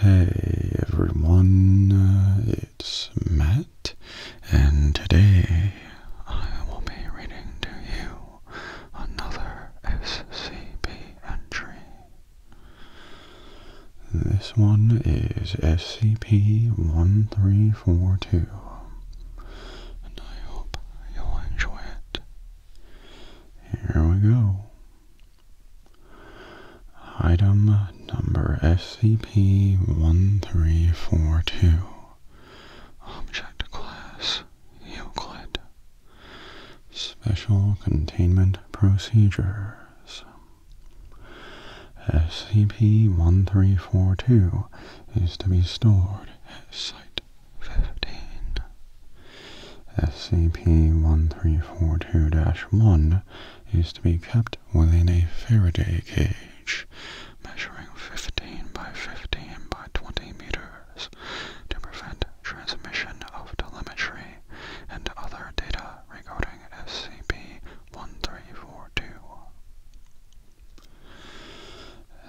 Hey everyone, uh, it's Matt, and today I will be reading to you another SCP entry. This one is SCP-1342, and I hope you enjoy it. Here we go. Item number SCP-1342 Object Class Euclid Special Containment Procedures SCP-1342 is to be stored at Site SCP-1342-1 is to be kept within a Faraday cage measuring 15 by 15 by 20 meters to prevent transmission of telemetry and other data regarding SCP-1342.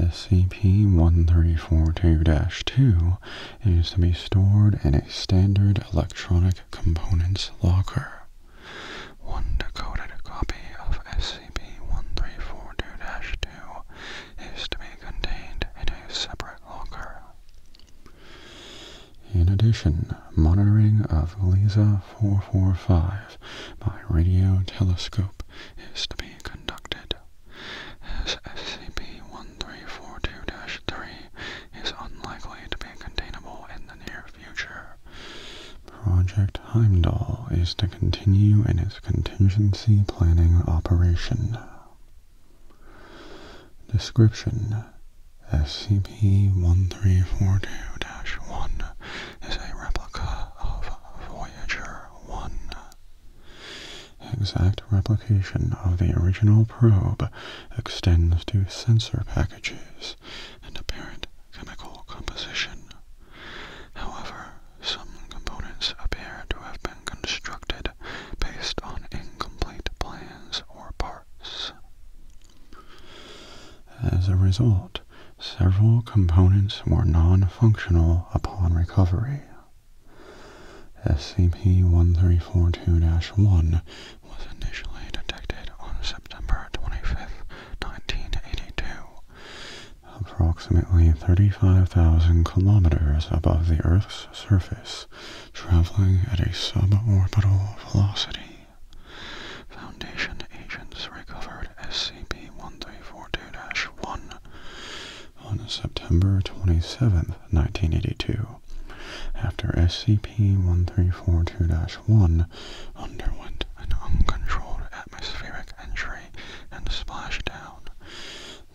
SCP-1342-2 is to be stored in a standard electronic components locker. One decoded copy of SCP-1342-2 is to be contained in a separate locker. In addition, monitoring of LISA-445 by radio telescope is to be conducted. SCP-1342-3 is unlikely to be containable in the near future. Project Heimdall is to continue in its contingency planning operation. Description SCP-1342-1 is a replica of Voyager 1 exact replication of the original probe extends to sensor packages and apparent chemical composition. However, some components appear to have been constructed based on incomplete plans or parts. As a result, several components were non-functional upon recovery. SCP-1342-1 was initially detected on September 25, 1982, approximately 35,000 kilometers above the Earth's surface, traveling at a suborbital velocity. Foundation agents recovered SCP-1342-1 on September 27, 1982, after SCP-1342-1 underwent an uncontrolled atmospheric entry and splashdown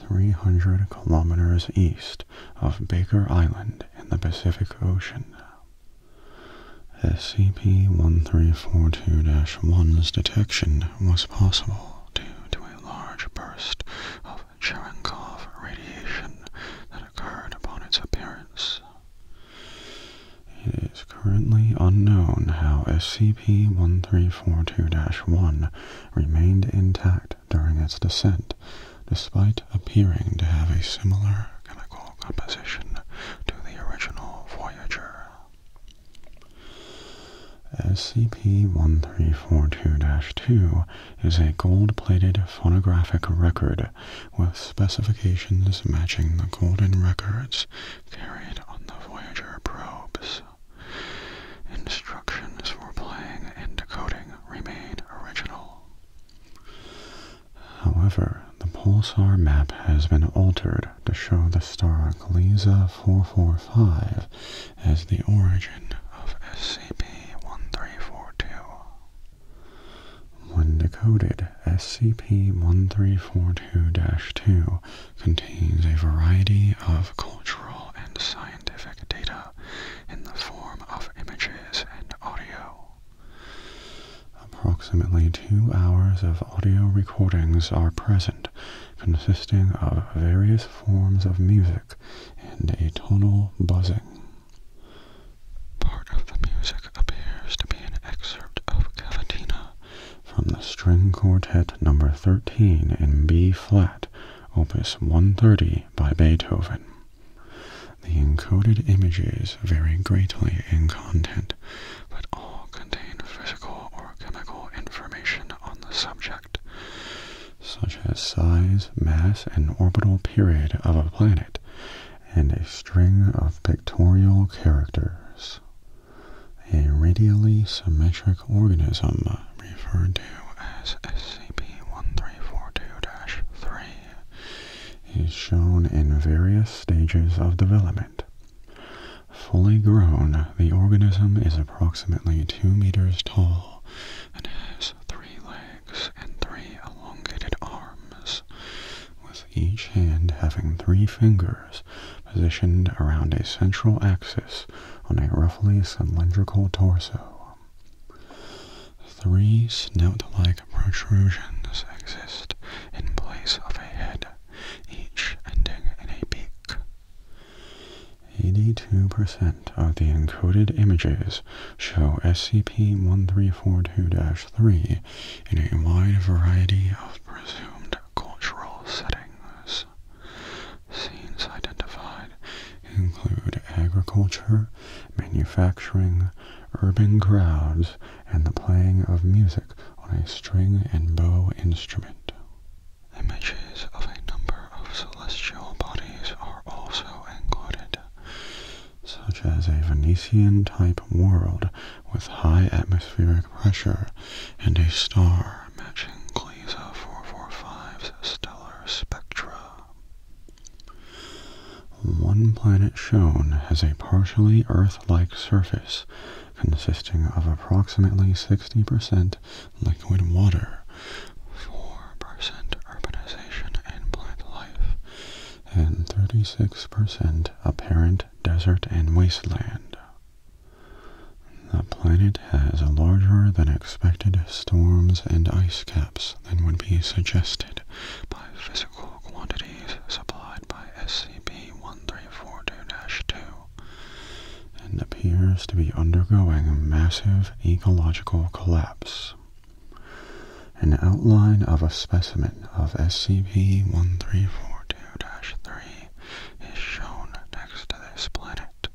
300 kilometers east of Baker Island in the Pacific Ocean. SCP-1342-1's detection was possible due to a large burst of Cherenkov radiation that occurred upon its appearance. It is currently unknown how SCP-1342-1 remained intact during its descent, despite appearing to have a similar chemical composition to the original Voyager. SCP-1342-2 is a gold-plated phonographic record with specifications matching the golden records carried on the Voyager probes. Instructions for playing and decoding remain original. However, the pulsar map has been altered to show the star Gliese-445 as the origin of SCP-1342. When decoded, SCP-1342-2 contains a variety of cultural and scientific data in the form of images and audio. Approximately two hours of audio recordings are present, consisting of various forms of music and a tonal buzzing. Part of the music appears to be an excerpt of cavatina from the string quartet number 13 in B flat, opus 130 by Beethoven. The encoded images vary greatly in content, but all contain physical or chemical information on the subject, such as size, mass, and orbital period of a planet, and a string of pictorial characters. A radially symmetric organism, referred to as SCP-1342-3, is shown in various stages of development, Fully grown, the organism is approximately 2 meters tall and has three legs and three elongated arms, with each hand having three fingers positioned around a central axis on a roughly cylindrical torso. Three snout-like protrusions exist in place of a head each ending in a peak. 82% of the encoded images show SCP-1342-3 in a wide variety of presumed cultural settings. Scenes identified include agriculture, manufacturing, urban crowds, and the playing of music on a string and bow instrument. Images of a number of celestial bodies are also included, such as a Venetian-type world with high atmospheric pressure and a star matching Gliese 445's stellar spectra. One planet shown has a partially Earth like surface consisting of approximately 60% liquid water, 4% urbanization and plant life, and 36% apparent desert and wasteland. The planet has larger than expected storms and ice caps than would be suggested by physical quantities supplied by SCP C1342-2 and appears to be undergoing a massive ecological collapse. An outline of a specimen of SCP-1342-3 is shown next to this planet.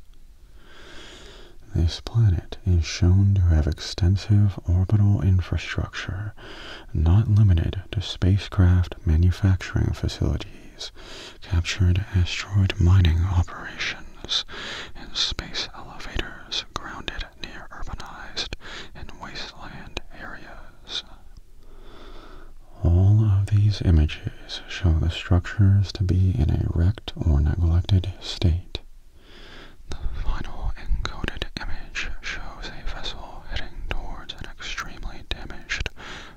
This planet is shown to have extensive orbital infrastructure not limited to spacecraft manufacturing facilities, captured asteroid mining operations, and space elevators grounded near urbanized and wasteland areas. All of these images show the structures to be in a wrecked or neglected state. The final encoded image shows a vessel heading towards an extremely damaged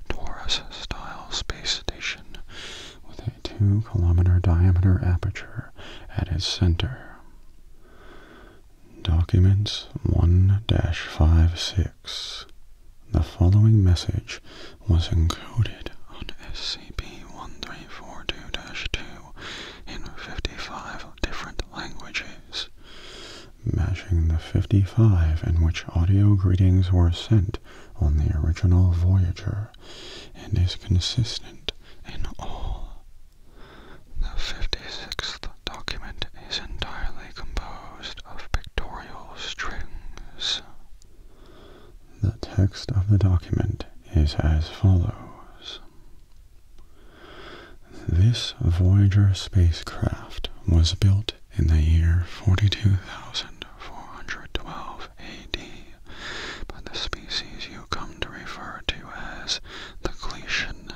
Taurus-style space station with a 2-kilometer diameter aperture at its center. Documents 1-56 The following message was encoded on SCP-1342-2 in 55 different languages, matching the 55 in which audio greetings were sent on the original Voyager and is consistent in all. The 56th document is entirely composed of pictorial strings. The text of the document is as follows. This Voyager spacecraft was built in the year 42,412 AD by the species you come to refer to as the Cletian.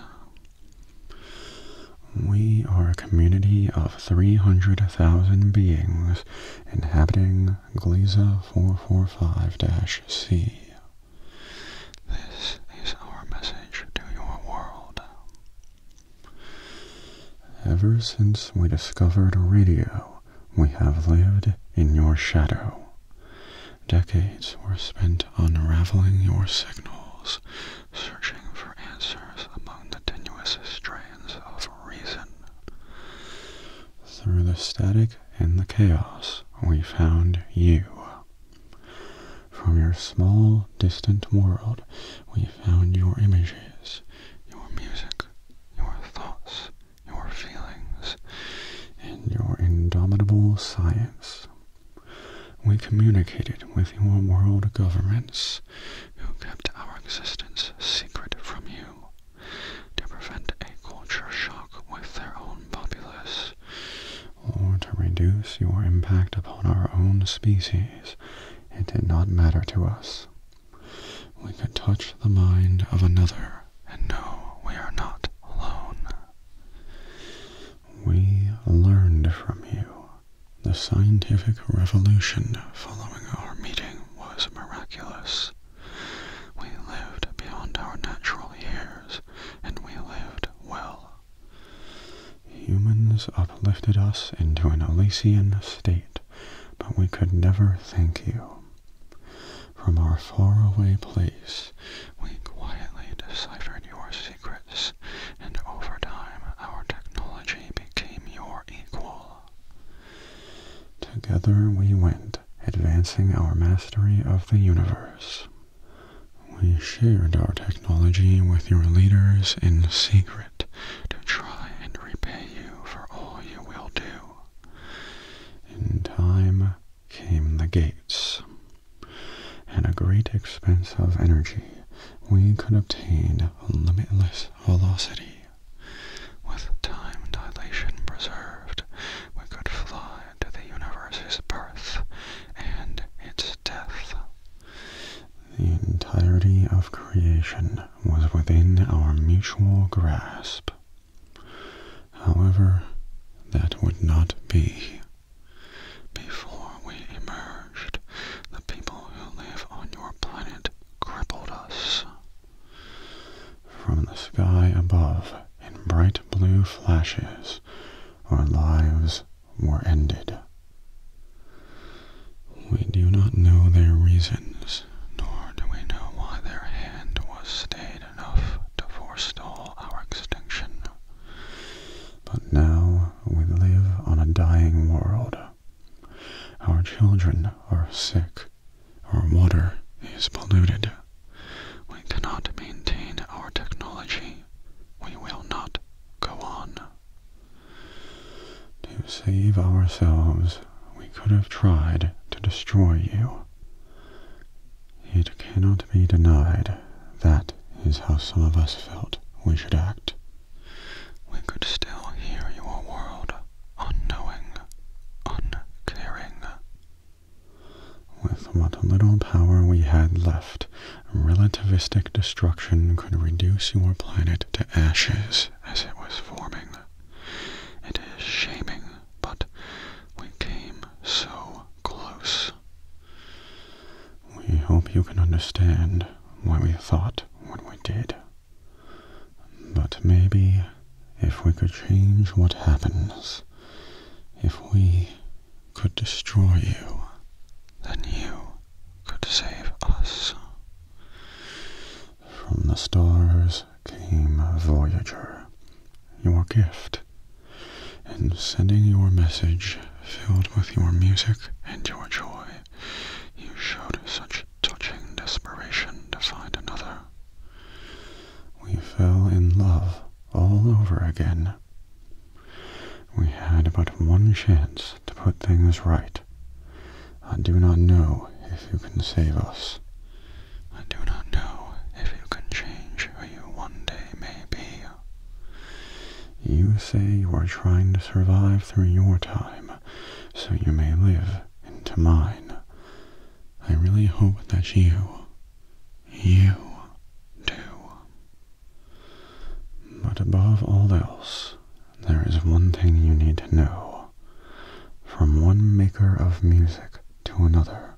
We are a community of 300,000 beings inhabiting Gliese 445-C. This is our message to your world. Ever since we discovered radio, we have lived in your shadow. Decades were spent unraveling your signals, searching for answers among the tenuous strands of reason. Through the static and the chaos, we found you. From your small, distant world, we found your images, your music, your thoughts, your feelings, and your indomitable science. We communicated with your world governments, who kept our existence secret from you, to prevent a culture shock with their own populace or to reduce your impact upon our own species, it did not matter to us. We could touch the mind of another and know we are not alone. We learned from you. The scientific revolution following our meeting was miraculous. We lived beyond our natural years, and we lived well. Humans uplifted us into an Elysian state, but we could never thank you. From our faraway place, we quietly deciphered your secrets, and over time our technology became your equal. Together we went advancing our mastery of the universe. We shared our technology with your leaders in secret to try and repay you for all you will do. In time came the gates. At a great expense of energy, we could obtain limitless velocity, with time dilation preserved we could fly to the universe's birth and its death. The entirety of creation was within our mutual grasp. However, that would not be. Before we emerged, the people who live on your planet crippled us. From the sky above, in bright blue flashes, our lives were ended. We do not know their reasons, nor do we know why their hand was stayed enough to forestall our extinction. But now we live on a dying world. Our children are sick our water is polluted. We cannot maintain our technology. We will not go on. To save ourselves, we could have tried to destroy you. It cannot be denied that is how some of us felt we should act. We could still hear your world, unknowing, uncaring. With what little power we had left, relativistic destruction could reduce your planet to ashes as it was forming. It is shaming, but we came so close. We hope you can understand why we thought what we did. But maybe if we could change what happens, if we could destroy you, then you could save us. From the stars came Voyager, your gift, and sending your message filled with your music and your joy, you showed such touching desperation to find another. We fell in love all over again. We had but one chance to put things right. I do not know if you can save us. I do not know if you can change who you one day may be. You say you are trying to survive through your time so you may live into mine. I really hope that you, you do. But above all else, there is one thing you need to know. From one maker of music to another,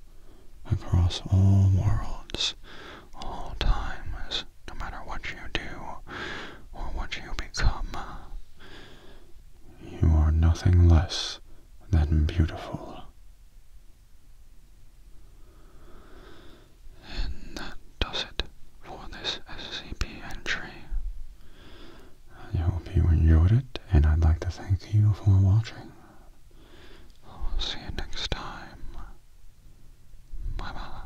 across all worlds, all times, no matter what you do or what you become, you are nothing less than beautiful. And that does it for this SCP entry. I hope you enjoyed it, and I'd like to thank you for watching. I'll see you next time. Bye bye.